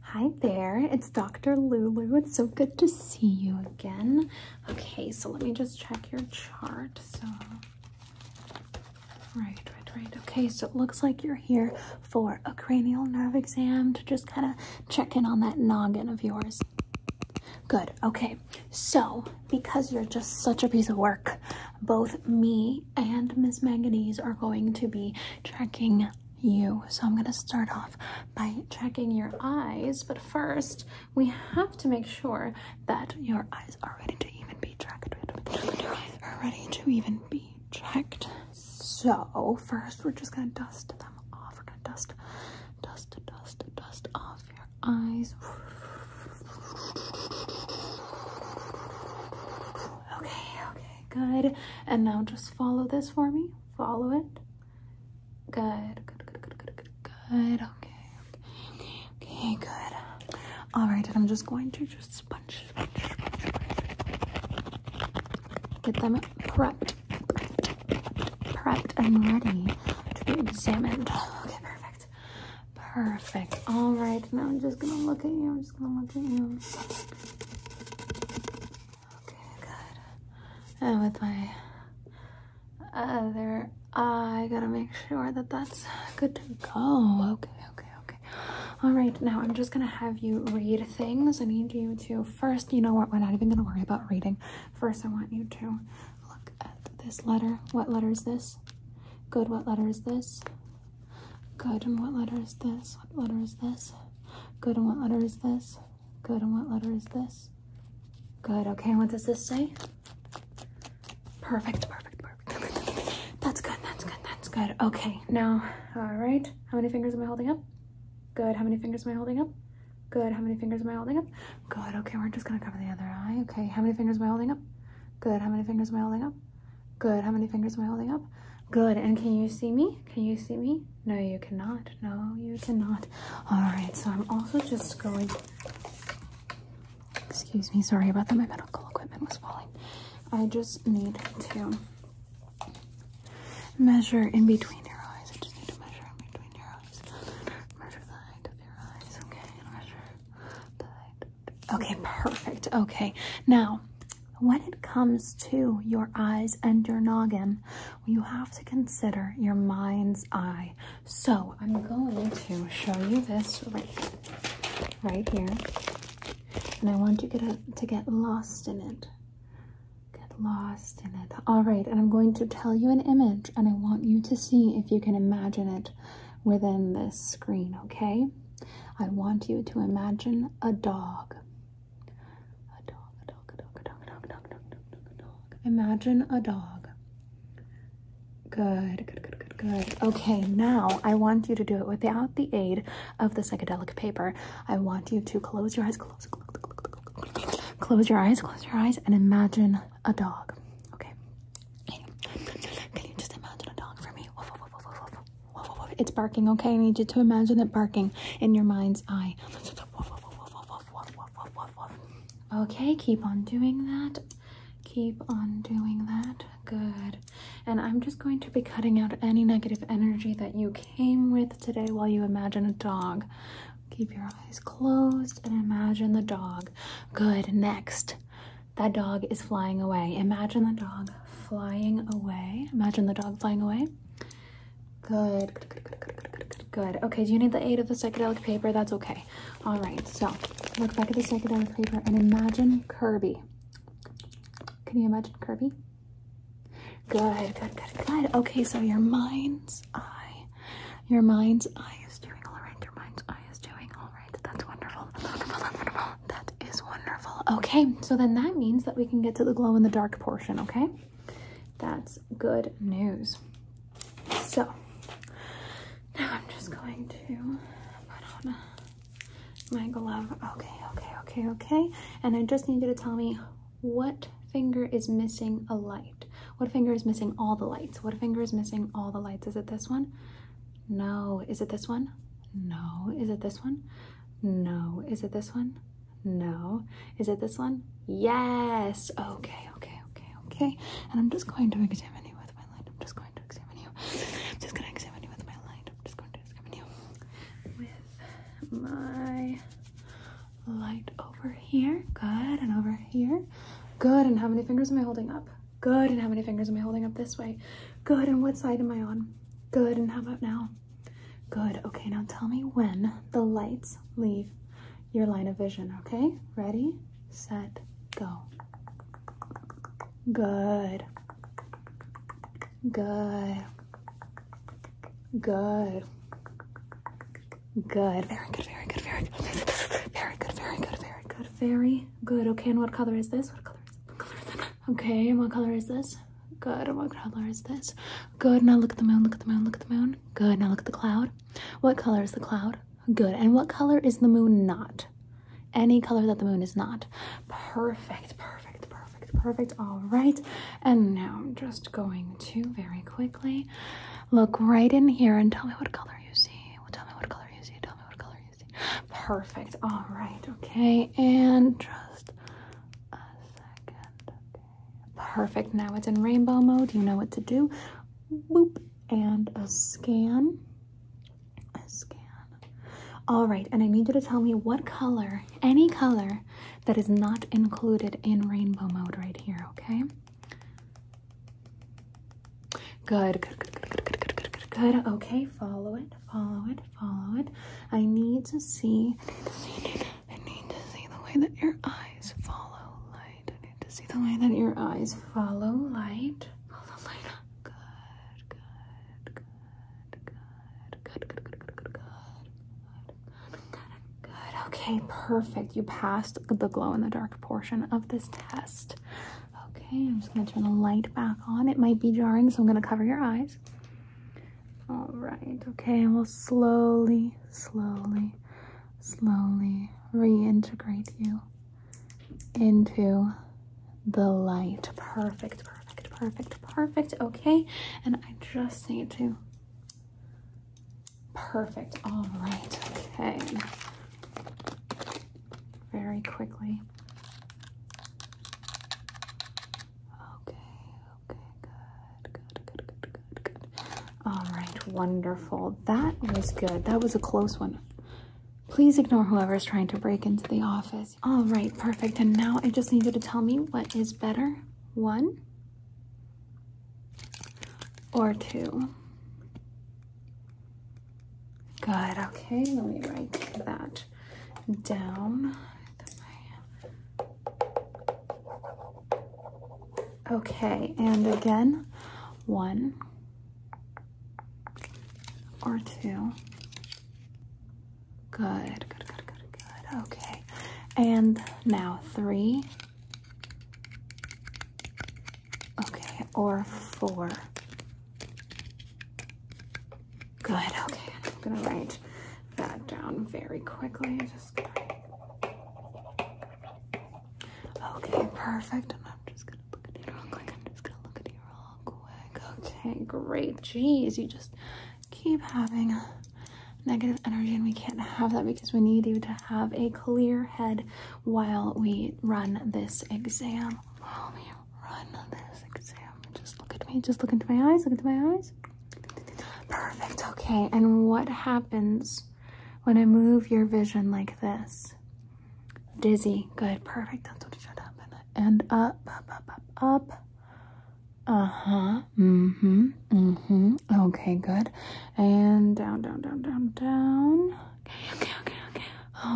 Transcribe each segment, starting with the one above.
Hi there, it's Dr. Lulu. It's so good to see you again. Okay, so let me just check your chart. So, right, right, right. Okay, so it looks like you're here for a cranial nerve exam to just kind of check in on that noggin of yours. Good, okay. So, because you're just such a piece of work, both me and Ms. Manganese are going to be checking you. So I'm going to start off by checking your eyes, but first we have to make sure that your eyes are ready to even be checked. are ready to even be checked. So first we're just going to dust them off. We're going to dust, dust, dust, dust off your eyes. Okay, okay, good. And now just follow this for me. Follow it. Good, good, good, good, good, good, Okay, okay, okay good. All right, and I'm just going to just sponge, get them prepped, prepped, prepped, and ready to be examined. Okay, perfect, perfect. All right, now I'm just gonna look at you. I'm just gonna look at you. Okay, good. And with my other eye, I gotta make sure that that's good to go. Okay, okay, okay. All right, now I'm just gonna have you read things. I need you to first, you know what, we're not even gonna worry about reading. First, I want you to look at this letter. What letter is this? Good, what letter is this? Good, and what letter is this? What letter is this? Good, and what letter is this? Good, and what letter is this? Good, okay, what does this say? Perfect, perfect, perfect. That's good, that's good, that's good. Okay, now, all right. How many fingers am I holding up? Good, how many fingers am I holding up? Good, how many fingers am I holding up? Good, okay, we're just gonna cover the other eye. Okay, how many fingers am I holding up? Good, how many fingers am I holding up? Good. How many fingers am I holding up? Good. And can you see me? Can you see me? No, you cannot. No, you cannot. All right. So I'm also just going. Excuse me. Sorry about that. My medical equipment was falling. I just need to measure in between your eyes. I just need to measure in between your eyes. Measure the height of your eyes. Okay. Measure the height. Okay. Perfect. Okay. Now, when it comes to your eyes and your noggin, you have to consider your mind's eye. So I'm going to show you this right, right here. And I want you to, to get lost in it. Get lost in it. All right, and I'm going to tell you an image and I want you to see if you can imagine it within this screen, okay? I want you to imagine a dog. Imagine a dog. Good, good, good, good, good. Okay, now I want you to do it without the aid of the psychedelic paper. I want you to close your eyes, close, close, close, close your eyes, close your eyes, and imagine a dog. Okay. Can you just imagine a dog for me? It's barking, okay? I need you to imagine it barking in your mind's eye. Okay, keep on doing that. Keep on doing that. Good. And I'm just going to be cutting out any negative energy that you came with today while you imagine a dog. Keep your eyes closed and imagine the dog. Good. Next. That dog is flying away. Imagine the dog flying away. Imagine the dog flying away. Good, good, good, good, good, good, Okay, do you need the aid of the psychedelic paper? That's okay. All right, so look back at the psychedelic paper and imagine Kirby. Can you imagine Kirby? Good, good, good, good. Okay, so your mind's eye, your mind's eye is doing all right. Your mind's eye is doing all right. That's wonderful. That's wonderful. That is wonderful. Okay, so then that means that we can get to the glow in the dark portion, okay? That's good news. So, now I'm just going to put on my glove. Okay, okay, okay, okay. And I just need you to tell me what finger is missing a light? What finger is missing all the lights? What finger is missing all the lights? Is it this one? No. Is it this one? No. Is it this one? No. Is it this one? No. Is it this one? Yes. Okay, okay, okay, okay. And I'm just going to examine you with my light. I'm just going to examine you. I'm just going to examine you with my light. I'm just going to examine you with my light over here. Good. And over here. Good. And how many fingers am I holding up? Good. And how many fingers am I holding up this way? Good. And what side am I on? Good, and how about now? Good, okay, now tell me when the lights leave your line of vision, okay? Ready, set, go. Good. Good. Good. Good. Very good, very good, very good. Very good, very good, very good, very good. Okay, and what color is this? What color is this? Okay, what color is this? Good. What color is this? Good. Now look at the moon. Look at the moon. Look at the moon. Good. Now look at the cloud. What color is the cloud? Good. And what color is the moon not? Any color that the moon is not. Perfect. Perfect. Perfect. Perfect. All right. And now I'm just going to very quickly look right in here and tell me what color you see. tell me what color you see. Tell me what color you see. Perfect. All right. Okay. And just a second. Perfect. Now it's in rainbow mode. You know what to do. Boop. And a scan. A scan. All right. And I need you to tell me what color, any color that is not included in rainbow mode right here. Okay. Good. Good. Good. Good. Good. Good. Good. Good. Okay. Follow it follow it, follow it. I need to see, I need to see, the way that your eyes follow light. I need to see the way that your eyes follow light. Follow light. good, good, good, good, good, good, good, good, good, good. Okay, perfect. You passed the glow in the dark portion of this test. Okay, I'm just gonna turn the light back on. It might be jarring, so I'm gonna cover your eyes. All right, okay, and we'll slowly, slowly, slowly reintegrate you into the light. Perfect, perfect, perfect, perfect. Okay, and I just need to. Perfect, all right, okay very quickly. Okay, okay, good, good, good, good, good, good. All right, wonderful. That was good. That was a close one. Please ignore whoever's trying to break into the office. All right, perfect. And now I just need you to tell me what is better, one or two. Good, okay, let me write that down. Okay, and again, one or two. Good, good, good, good, good. Okay, and now three. Okay, or four. Good, okay. I'm gonna write that down very quickly. Okay, perfect. I'm just gonna look at you real quick. I'm just gonna look at you real quick. Okay, great. Jeez, you just keep having negative energy and we can't have that because we need you to have a clear head while we run this exam. Oh, run on this exam. Just look at me. Just look into my eyes. Look into my eyes. Perfect. Okay. And what happens when I move your vision like this? Dizzy. Good. Perfect. That's what should happen. And up, up, up, up, up. Uh-huh. Mm-hmm. Mm-hmm. Okay, good. And down, down, down, down, down. Okay, okay, okay, okay.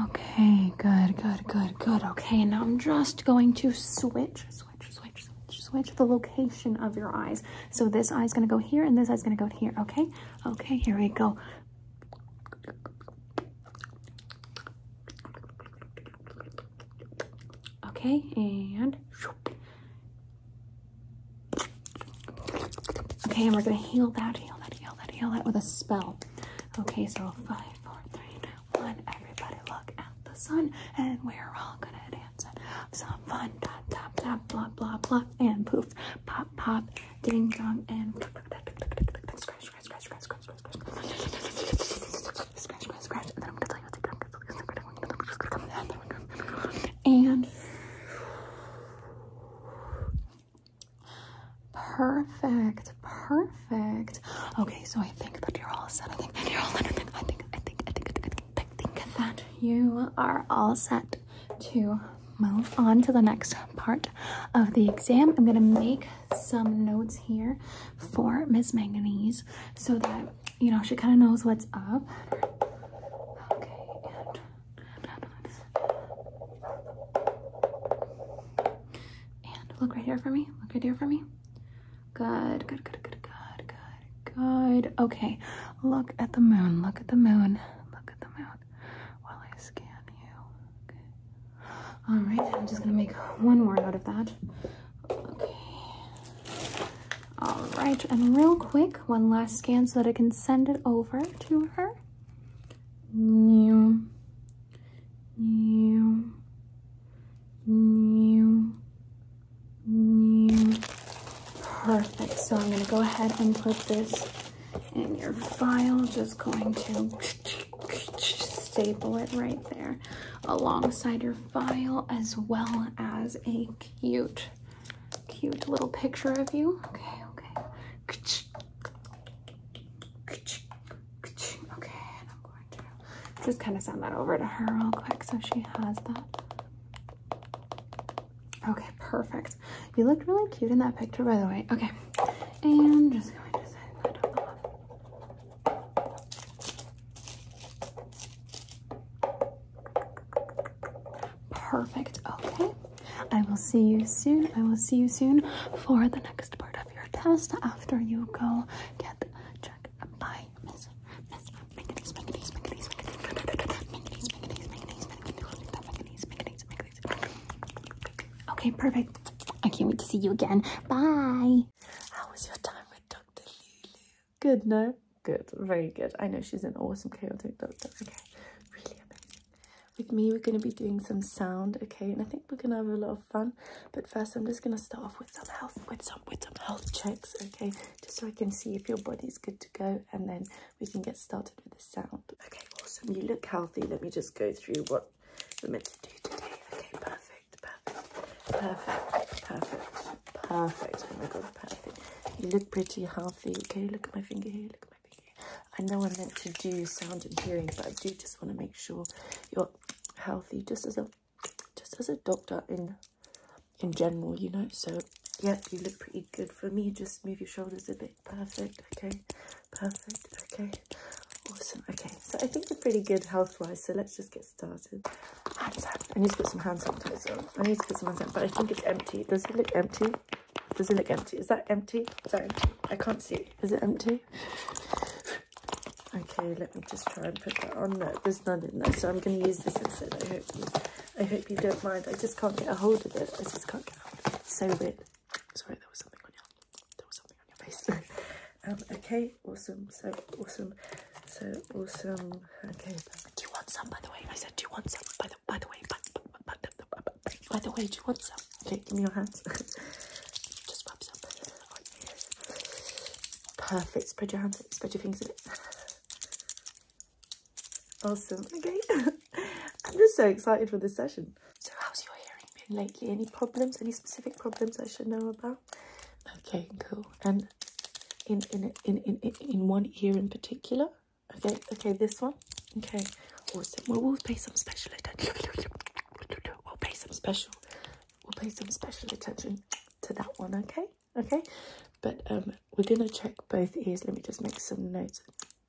Okay, good, good, good, good. Okay, now I'm just going to switch, switch, switch, switch, switch the location of your eyes. So this eye's gonna go here and this eye's gonna go here, okay? Okay, here we go. Okay, and... Okay, and we're gonna heal that, heal that, heal that, heal that with a spell. Okay, so five, four, three, two, one. Everybody look at the sun, and we're all gonna dance and have some fun. Tap, tap, tap, blah, blah, blah, and poof, pop, pop, ding, dong, and scratch, scratch, scratch, scratch, scratch, scratch, scratch, scratch, And Perfect, perfect. Okay, so I think that you're all set. I think you're all set. I think, I think, I think, I think, that you are all set to move on to the next part of the exam. I'm gonna make some notes here for Miss Manganese so that, you know, she kind of knows what's up. Okay, and look right here for me. Look right here for me. Good, good, good, good, good, good, good. Okay, look at the moon. Look at the moon. Look at the moon while I scan you. All right, I'm just gonna make one more out of that. Okay. All right, and real quick, one last scan so that I can send it over to her. New new, new, new. Perfect. So I'm going to go ahead and put this in your file. Just going to staple it right there alongside your file as well as a cute, cute little picture of you. Okay, okay. Okay, I'm going to just kind of send that over to her real quick so she has that. Okay, perfect. You looked really cute in that picture, by the way. Okay, and just going to send that off. Perfect, okay. I will see you soon. I will see you soon for the next part of your test after you go get checked by Miss Okay, perfect. I can't wait to see you again. Bye. How was your time with Dr. Lulu? Good, no? Good, very good. I know she's an awesome chaotic doctor. Okay, really amazing with me we're going to be doing some sound okay and i think we're going to have a lot of fun but first i'm just going to start off with some health with some with some health checks okay just so i can see if your body's good to go and then we can get started with the sound okay awesome you look healthy let me just go through what we're meant to do today okay perfect perfect perfect perfect perfect oh you look pretty healthy okay look at my finger here look at I know I meant to do sound and hearing, but I do just want to make sure you're healthy, just as a just as a doctor in in general, you know. So yeah, you look pretty good for me. Just move your shoulders a bit. Perfect. Okay. Perfect. Okay. Awesome. Okay. So I think you're pretty good health-wise. So let's just get started. Hand sanitizer. I need to put some hand sanitizer on. I need to put some hand sanitizer, but I think it's empty. Does it look empty? Does it look empty? Is that empty? Sorry, I can't see. Is it empty? Okay, let me just try and put that on. there. there's none in there, so I'm going to use this instead. I hope you, I hope you don't mind. I just can't get a hold of it. I just can't get hold so weird. Sorry, there was something on your, there was something on your face. um, okay, awesome. So awesome. So awesome. Okay. Do you want some? By the way, I said, do you want some? By the, by the way, by the way, do you want some? Okay, give me your hands. Just rub some Perfect. Spread your hands. Spread your fingers a bit. Awesome. Okay. I'm just so excited for this session. So how's your hearing been lately? Any problems? Any specific problems I should know about? Okay, cool. And in in in in, in one ear in particular? Okay, okay, this one. Okay, awesome. Well, we'll pay some special attention. We'll pay some special. We'll pay some special attention to that one. Okay, okay. But um, we're gonna check both ears. Let me just make some notes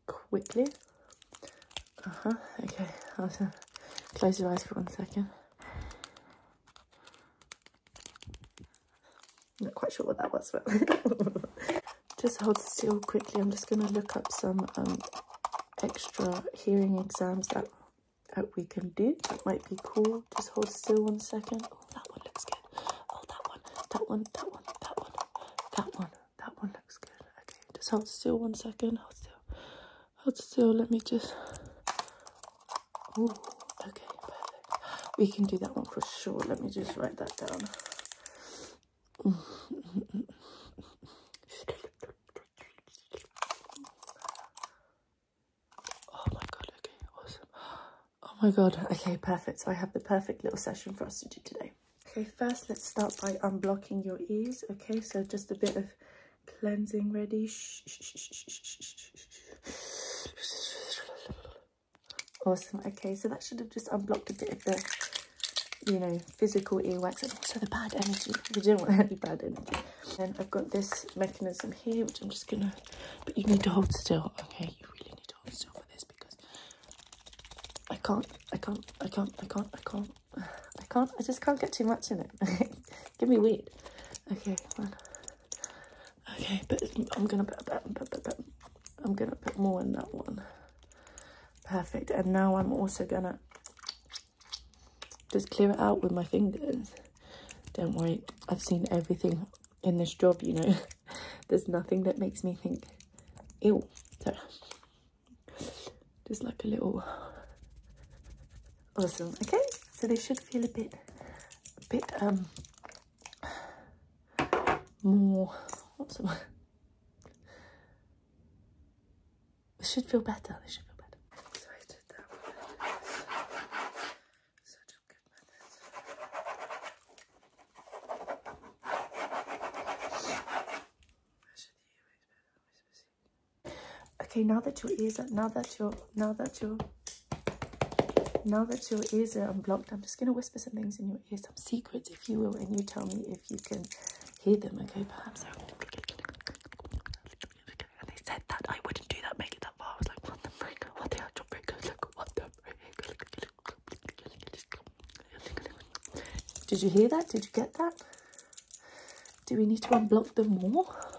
quickly. Uh huh. Okay. I'll close your eyes for one second. I'm not quite sure what that was, but just hold still quickly. I'm just going to look up some um, extra hearing exams that, that we can do. That might be cool. Just hold still one second. Oh, that one looks good. Oh, that one, that one, that one, that one, that one, that one looks good. Okay, just hold still one second. Hold still. Hold still. Let me just... Oh, okay, We can do that one for sure. Let me just write that down oh my god, okay, awesome. Oh my god, okay, perfect. So I have the perfect little session for us to do today. Okay, first let's start by unblocking your ears. Okay, so just a bit of cleansing ready. Awesome. Okay, so that should have just unblocked a bit of the you know, physical earwax and also the bad energy. We don't want any bad energy. Then I've got this mechanism here, which I'm just gonna, but you need to hold still, okay? You really need to hold still for this because I can't, I can't, I can't, I can't, I can't, I can't, I just can't get too much in it. Okay, Give me weird. Okay, Okay, but I'm gonna put, I'm gonna put more in that one perfect and now I'm also gonna just clear it out with my fingers don't worry I've seen everything in this job you know there's nothing that makes me think ew so just like a little awesome okay so they should feel a bit a bit um more awesome. It should feel better. They should feel better. Okay, now that your ears are now that your now that your now that your ears are unblocked, I'm just gonna whisper some things in your ear, some secrets if you will, and you tell me if you can hear them, okay? Perhaps I'm They said that I wouldn't do that, make it that far. I was like, what the frick? What the actual frick? Look, what the frick? Did you hear that? Did you get that? Do we need to unblock them more?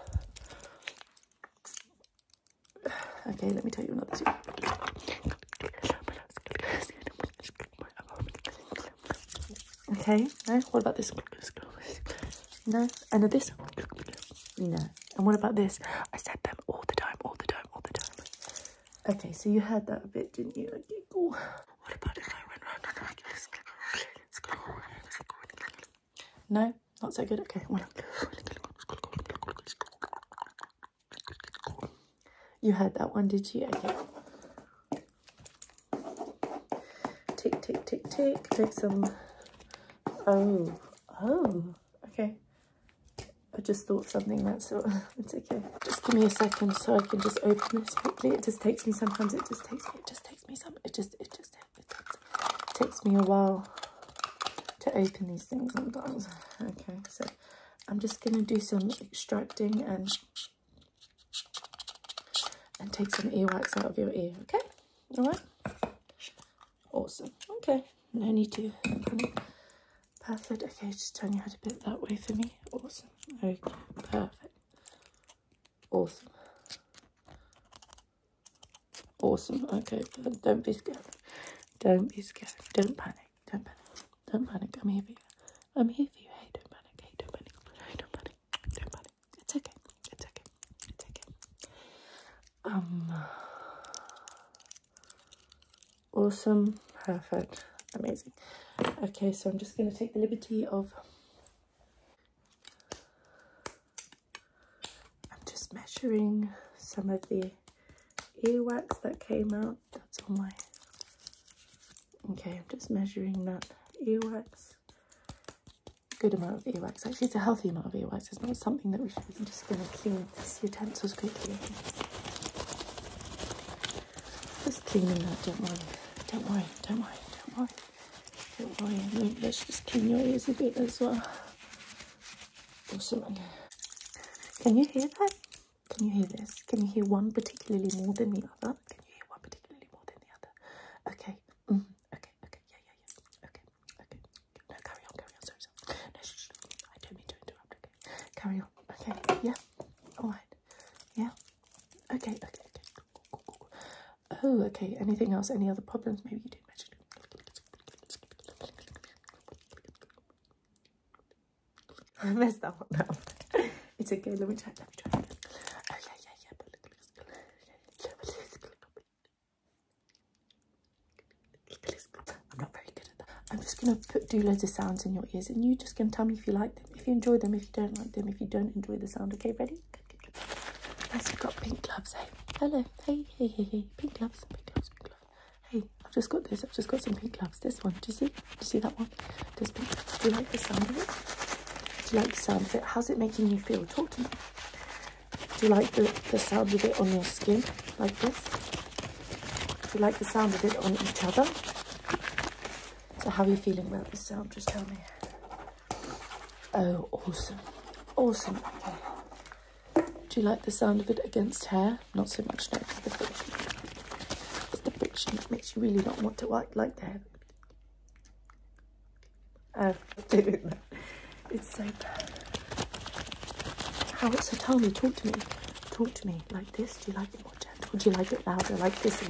Okay, let me tell you another story. Okay, no? What about this? No? And this? No. And what about this? I said them all the time, all the time, all the time. Okay, so you heard that a bit, didn't you? Okay, cool. What about if No? Not so good? Okay, you had that one, did you? Take, take, take, take, Take some. Oh, oh, okay. I just thought something that's okay. Just give me a second so I can just open this quickly. It just takes me sometimes it just takes me it just takes me some it just it just it takes me a while to open these things sometimes. Okay, so I'm just going to do some extracting and and take some earwax out of your ear, okay? All right? Awesome. Okay, no need to panic. Perfect. Okay, just turn your head a bit that way for me. Awesome. Okay, perfect. Awesome. Awesome. Okay, don't be scared. Don't be scared. Don't panic. Don't panic. Don't panic. I'm here for you. I'm here for you. Hey, don't panic. Hey, don't panic. Hey, don't panic. Don't panic. It's okay. It's okay. It's okay. Um. Awesome. Perfect. Amazing. Okay, so I'm just going to take the liberty of. I'm just measuring some of the earwax that came out that's all my. Okay, I'm just measuring that earwax. Good amount of earwax. Actually, it's a healthy amount of earwax. It's not something that we should. I'm just going to clean this utensils quickly. Just cleaning that. Don't worry. Don't worry. Don't worry. Don't worry. Don't worry. let's just clean your ears a bit as well. Also, Can you hear that? Can you hear this? Can you hear one particularly more than the other? Can you hear one particularly more than the other? Okay. Mm -hmm. Okay. Okay. Yeah. Yeah. Yeah. Okay. Okay. No, carry on. Carry on. Sorry. sorry. No, shh, shh, shh. I don't mean to interrupt. Okay. Carry on. Okay. Yeah. All right. Yeah. Okay. Okay. Okay. Oh. Okay. Anything else? Any other problems? Maybe you did mention. I messed that one up. it's okay, let me try, let me try. Oh yeah, yeah, yeah. I'm not very good at that. I'm just gonna put do loads of sounds in your ears and you just gonna tell me if you like them, if you enjoy them, if you don't like them, if you don't enjoy the sound. Okay, ready? Good, good, good. Yes, we've got pink gloves, hey. Hello. Hey, hey, hey, hey. Pink gloves, pink gloves, pink gloves. Hey, I've just got this. I've just got some pink gloves. This one. Do you see? Do you see that one? This pink. Do you like the sound of it? Do you like the sound of it? How's it making you feel? Talk to me. Do you like the, the sound of it on your skin? Like this? Do you like the sound of it on each other? So how are you feeling about this sound? Just tell me. Oh, awesome. Awesome. Okay. Do you like the sound of it against hair? not so much no, the friction. It's the friction makes you really not want to like like to have. Oh, it's so bad. How it's so tell talk to me, talk to me like this. Do you like it more gentle? do you like it louder? Like this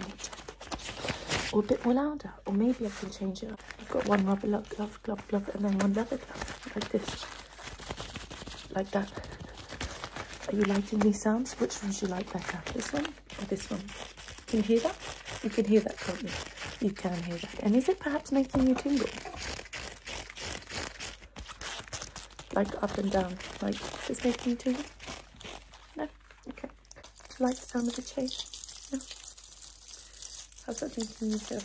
or a bit more louder? Or maybe I can change it. Up. I've got one rubber glove, glove, glove, glove, and then one leather glove like this. Like that. Are you liking these sounds? Which ones you like better? This one or this one? Can you hear that? You can hear that, can you? can hear that. And is it perhaps making you tingle? Like up and down. Like, is this making you tingle? No? Okay. Do you like the sound of the chain? No? How's that these you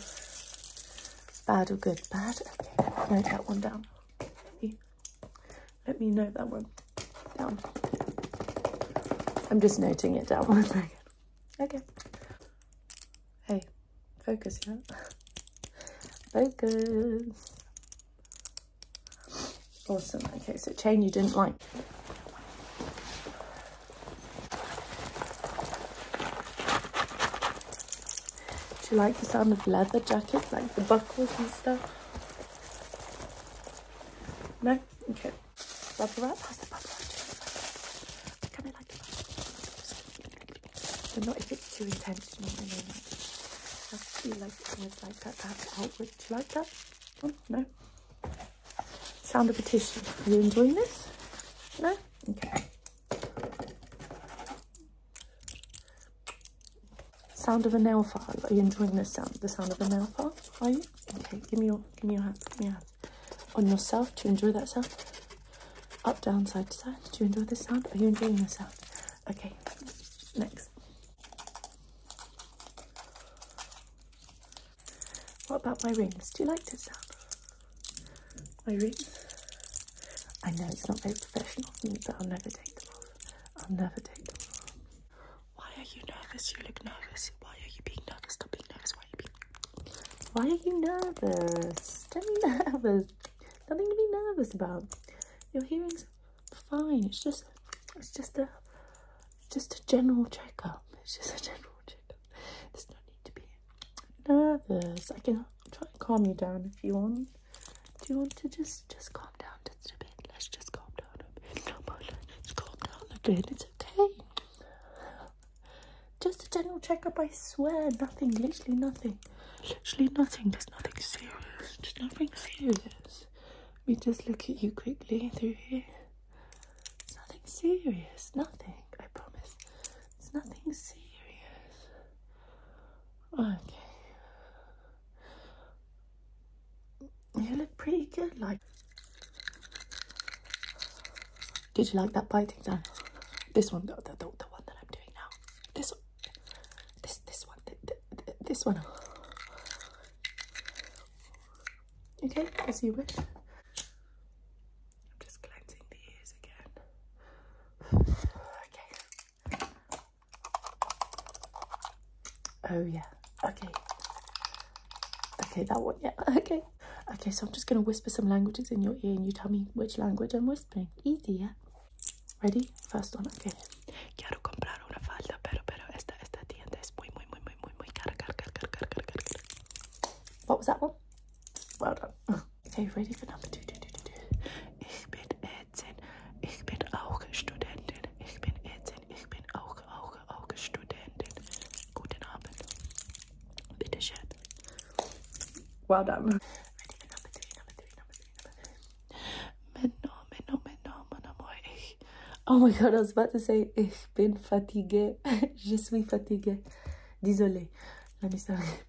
Bad or good? Bad? Okay. Write that one down. Here. Let me note that one down. I'm just noting it down one second. Okay. Hey, focus, yeah? Focus. Awesome. Okay, so chain you didn't like. Do you like the sound of leather jackets, like the buckles and stuff? No? Okay. Bubble wrap? How's the bubble wrap Come here like that. But not if it's too intentional, I mean. That's, you like things like that to have Do you like that? Oh, no? Sound of a tissue. Are you enjoying this? No? Okay. Sound of a nail file. Are you enjoying this sound? The sound of a nail file? Are you? Okay, give me your give me your hand. Give me your hand. On yourself, to enjoy that sound? Up, down, side to side. Do you enjoy this sound? Are you enjoying this sound? Okay, next. What about my rings? Do you like this sound? Irene's. I know it's not very professional of me, but I'll never take them off. I'll never take them off. Why are you nervous? You look nervous. Why are you being nervous? Stop being nervous. Why are you being Why are you nervous? Don't be nervous. Nothing to be nervous about. Your hearing's fine. It's just it's just a just a general checkup. It's just a general checkup. There's no need to be nervous. I can try and calm you down if you want. Do you want to just just calm down just a bit? Let's just calm down a bit. let calm down a bit. It's okay. Just a general checkup. I swear, nothing. Literally nothing. Literally nothing. There's nothing serious. There's nothing serious. Let me just look at you quickly through here. nothing serious. Nothing. I promise. It's nothing serious. Okay. You look pretty good, like. Did you like that biting sound? This one, the, the, the, one that I'm doing now. This one. This, this one. this one. Okay, as you wish. I'm just collecting the ears again. okay. Oh yeah, okay. Okay, that one, yeah, okay. Okay, so I'm just going to whisper some languages in your ear and you tell me which language I'm whispering. Easy, yeah? Ready? First one, okay. Quiero comprar una falda, pero, pero esta, esta tienda es muy, muy, muy, muy, muy, muy cara, cara, cara, cara, cara, cara, cara. What was that one? Well done. Okay, ready for number two? Ich bin 18. Ich bin auch Studentin. Ich bin 18. Ich bin auch, auch, auch Studentin. Guten Abend. Bitte schön. Well done. Ready for number three, number three, number three, number three. Menno, menno, menno, mon amour. Ich. Oh my god, I was about to say, ich bin fatigué. Je suis fatigué. Désolé. Let me start.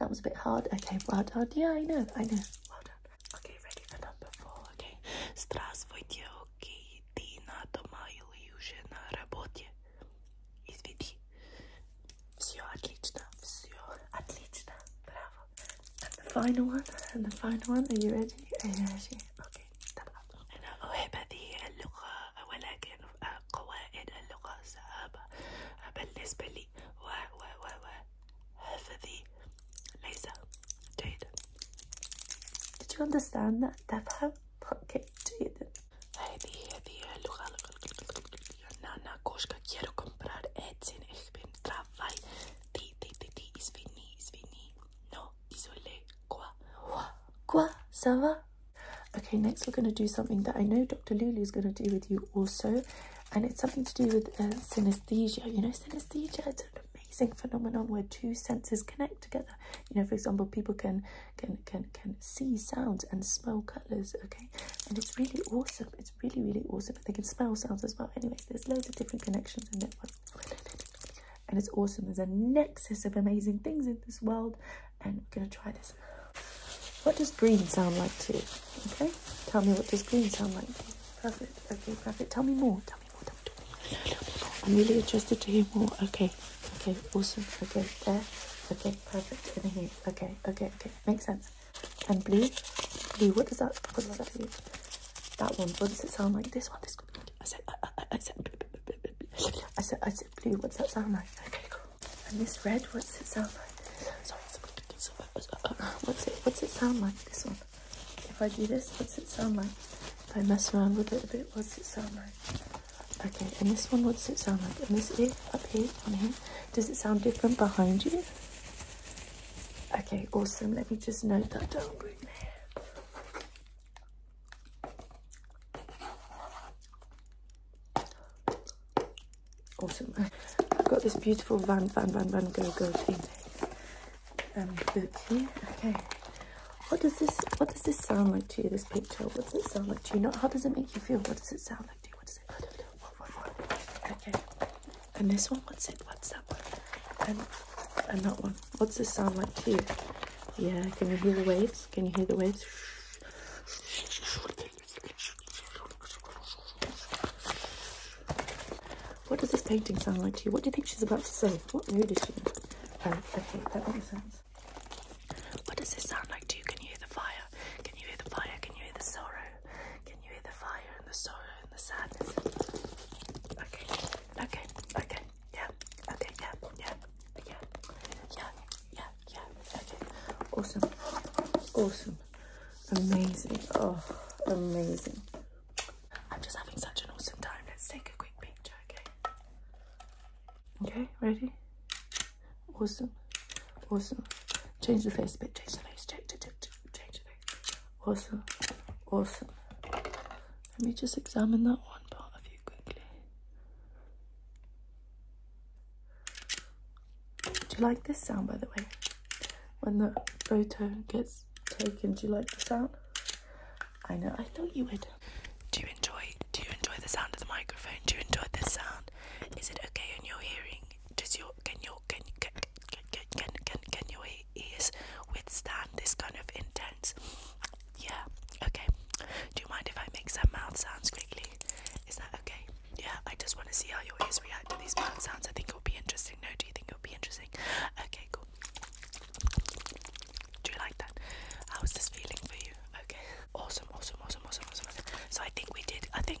That was a bit hard. Okay, well done. Yeah, I know, I know. Well done. Okay, ready for number four. Okay. Здравствуйте, окей, ты на дома или уже на работе? Извини. Все отлично, все отлично the final one, and the final one. Are you ready? Are you ready? Okay. أنا أحب هذه اللغة ولكن قواعد اللغة صعبة بالنسبة لي و و و و حفظي ليس جيدا. Did you understand that? تفهم؟ Okay, جيدا. هذه هذه اللغة. Nana Koshka quiero comprar Etsy. Ich travail. T, T, T, T, No, isolé, quoi, quoi, quoi, ça va? Okay, next we're going to do something that I know Dr. Lulu is going to do with you also. And it's something to do with uh, synesthesia. You know, synesthesia, it's an amazing phenomenon where two senses connect together. You know, for example, people can, can, can, can see sounds and smell colours, okay? And it's really awesome. It's really, really awesome that they can spell sounds as well. Anyways, there's loads of different connections in and one, And it's awesome. There's a nexus of amazing things in this world. And we're going to try this. What does green sound like to you? Okay, tell me what does green sound like Perfect. Okay, perfect. Tell me more. Tell me more. Tell me, tell I'm really interested to hear more. Okay. Okay, awesome. Okay, there. Okay, perfect. In here. Okay, okay, okay. Makes sense. And blue. Blue. What does that? What does that mean? that one. What oh, does it sound like? This one. This one. I said. I, I, I said. I said. I said blue. What's that sound like? Okay, cool. And this red. What's it sound like? Sorry. Uh, uh, uh, what's it? What's it sound like? This one. If I do this, what's it sound like? If I mess around with it a bit, what's it sound like? Okay. And this one. What's it sound like? And this ear up here. Does it sound different behind you? Okay, awesome. Let me just note that down right there. Awesome. I've got this beautiful Van Van Van Van Go Go thing um, book here. Okay. What does this What does this sound like to you? This picture. What does it sound like to you? Not how does it make you feel. What does it sound like to you? What does it? What, what, what, okay. And this one, what's it? What's that one? And and that one. What's this sound like to you? Yeah, can you hear the waves? Can you hear the waves? What does this painting sound like to you? What do you think she's about to say? What mood is she in? Oh, okay, that makes sense. What does this sound like to you? Can you hear the fire? Can you hear the fire? Can you hear the sorrow? Can you hear the fire and the sorrow and the sadness? Okay, okay, okay, yeah, okay, yeah, yeah, yeah, yeah, yeah, yeah, okay. Awesome, awesome, amazing, oh, amazing. I'm just having such an awesome time. Let's take a quick picture, okay? Okay, ready? Awesome, awesome. Change the face a bit, change the face, change, change, change, change the face. Awesome. Awesome. Let me just examine that one part of you quickly. Do you like this sound, by the way? When the photo gets taken, do you like the sound? I know, I thought you would. Do you enjoy, do you enjoy the sound of the microphone? Do you enjoy this sound? Is it okay in your hearing? Does your, can your can can can can can, can your ears withstand this kind of intense? Yeah. Okay. Do you mind if I make some mouth sounds quickly? Is that okay? Yeah. I just want to see how your ears react to these mouth sounds. I think it will be interesting. No, do you think it will be interesting? Okay. Cool. Do you like that? was this feeling for you? Okay. Awesome. Awesome. Awesome. Awesome. Awesome. awesome. So I think we did. I think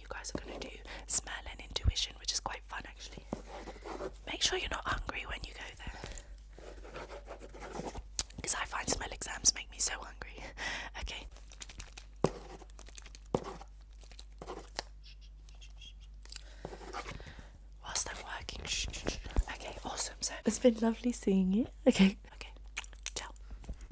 you guys are going to do smell and intuition, which is quite fun actually. Make sure you're not hungry when you go there. Because I find smell exams make me so hungry. okay. Whilst I'm working. Okay, awesome. So it's been lovely seeing you. Okay. Okay. Ciao.